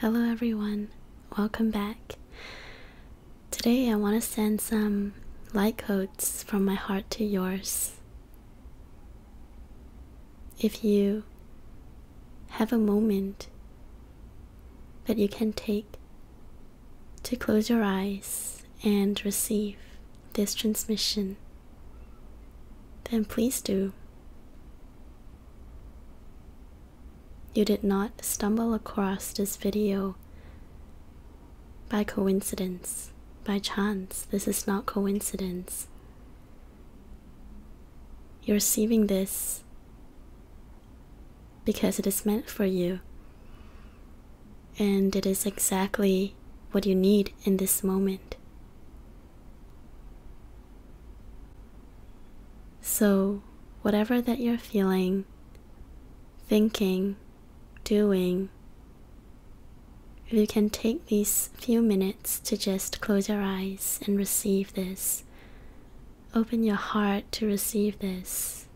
Hello everyone, welcome back. Today I want to send some light codes from my heart to yours. If you have a moment that you can take to close your eyes and receive this transmission, then please do. You did not stumble across this video by coincidence, by chance. This is not coincidence. You're receiving this because it is meant for you. And it is exactly what you need in this moment. So, whatever that you're feeling, thinking, doing, you can take these few minutes to just close your eyes and receive this, open your heart to receive this.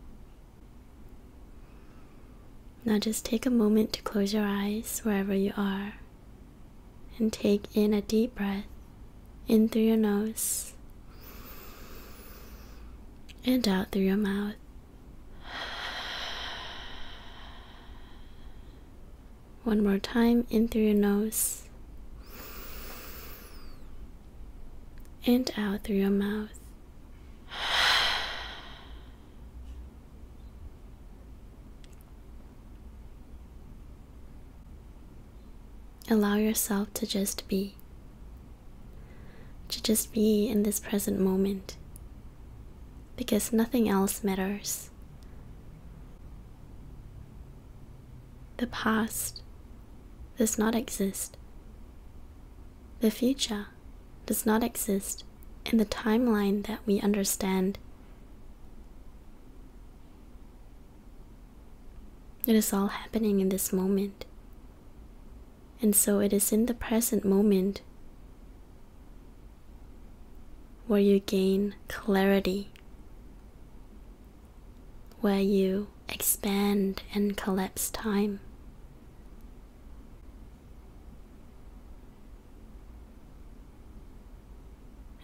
Now, just take a moment to close your eyes wherever you are and take in a deep breath in through your nose and out through your mouth. One more time in through your nose and out through your mouth. Allow yourself to just be, to just be in this present moment because nothing else matters. The past does not exist. The future does not exist in the timeline that we understand. It is all happening in this moment. And so it is in the present moment where you gain clarity, where you expand and collapse time.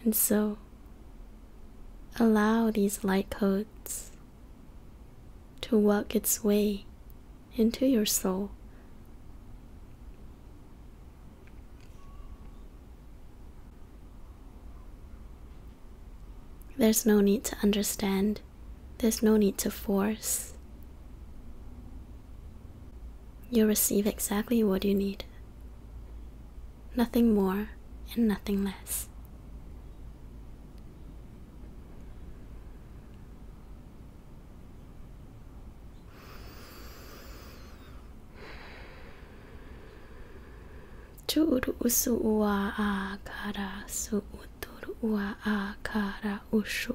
And so, allow these light codes to work its way into your soul. There's no need to understand. There's no need to force. You'll receive exactly what you need. Nothing more and nothing less. Churu kara su kara ushu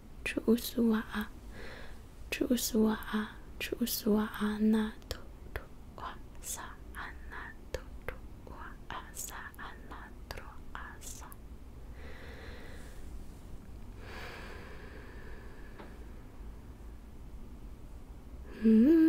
chu'uswa'a, chu'uswa'a, chu'uswa'a na tu tu'a sa'a na sa tu'a sa'a asa tru'a sa. Mm -hmm.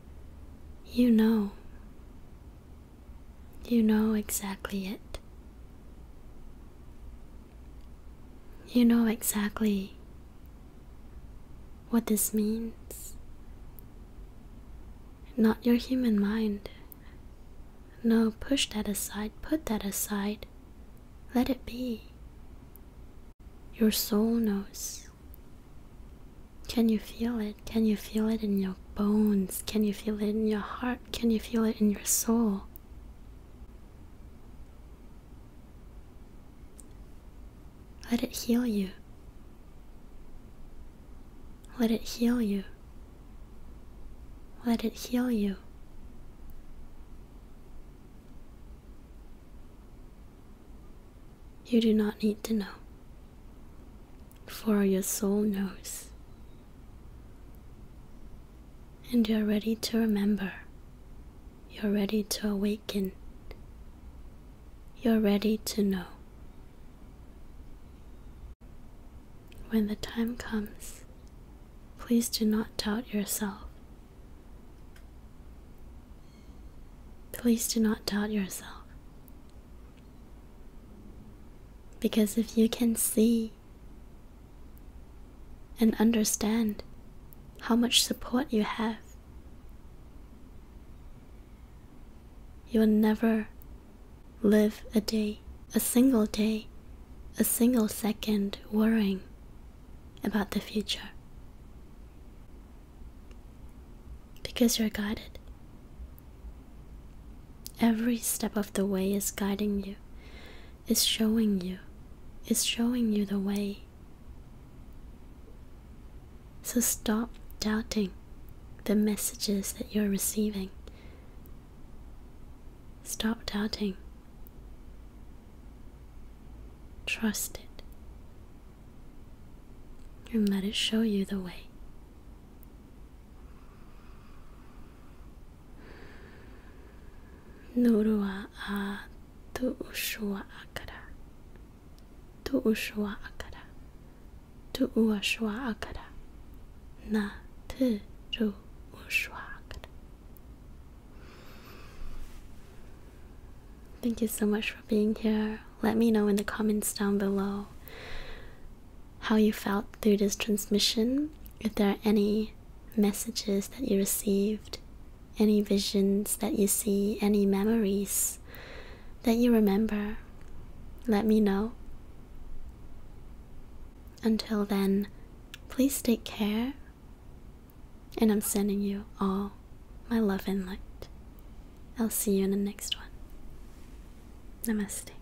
You know. You know exactly it. You know exactly what this means. Not your human mind. No, push that aside, put that aside, let it be. Your soul knows. Can you feel it? Can you feel it in your bones? Can you feel it in your heart? Can you feel it in your soul? Let it heal you. Let it heal you. Let it heal you. You do not need to know, for your soul knows, and you're ready to remember, you're ready to awaken, you're ready to know. When the time comes, please do not doubt yourself. Please do not doubt yourself. Because if you can see and understand how much support you have, you will never live a day, a single day, a single second worrying about the future. Because you're guided. Every step of the way is guiding you, is showing you, is showing you the way. So stop doubting the messages that you're receiving. Stop doubting. Trust it and let it show you the way. Norua a tu akara. Tu akara. Tu akara. Na te ru akara. Thank you so much for being here. Let me know in the comments down below how you felt through this transmission, if there are any messages that you received, any visions that you see, any memories that you remember. Let me know. Until then, please take care and I'm sending you all my love and light. I'll see you in the next one. Namaste.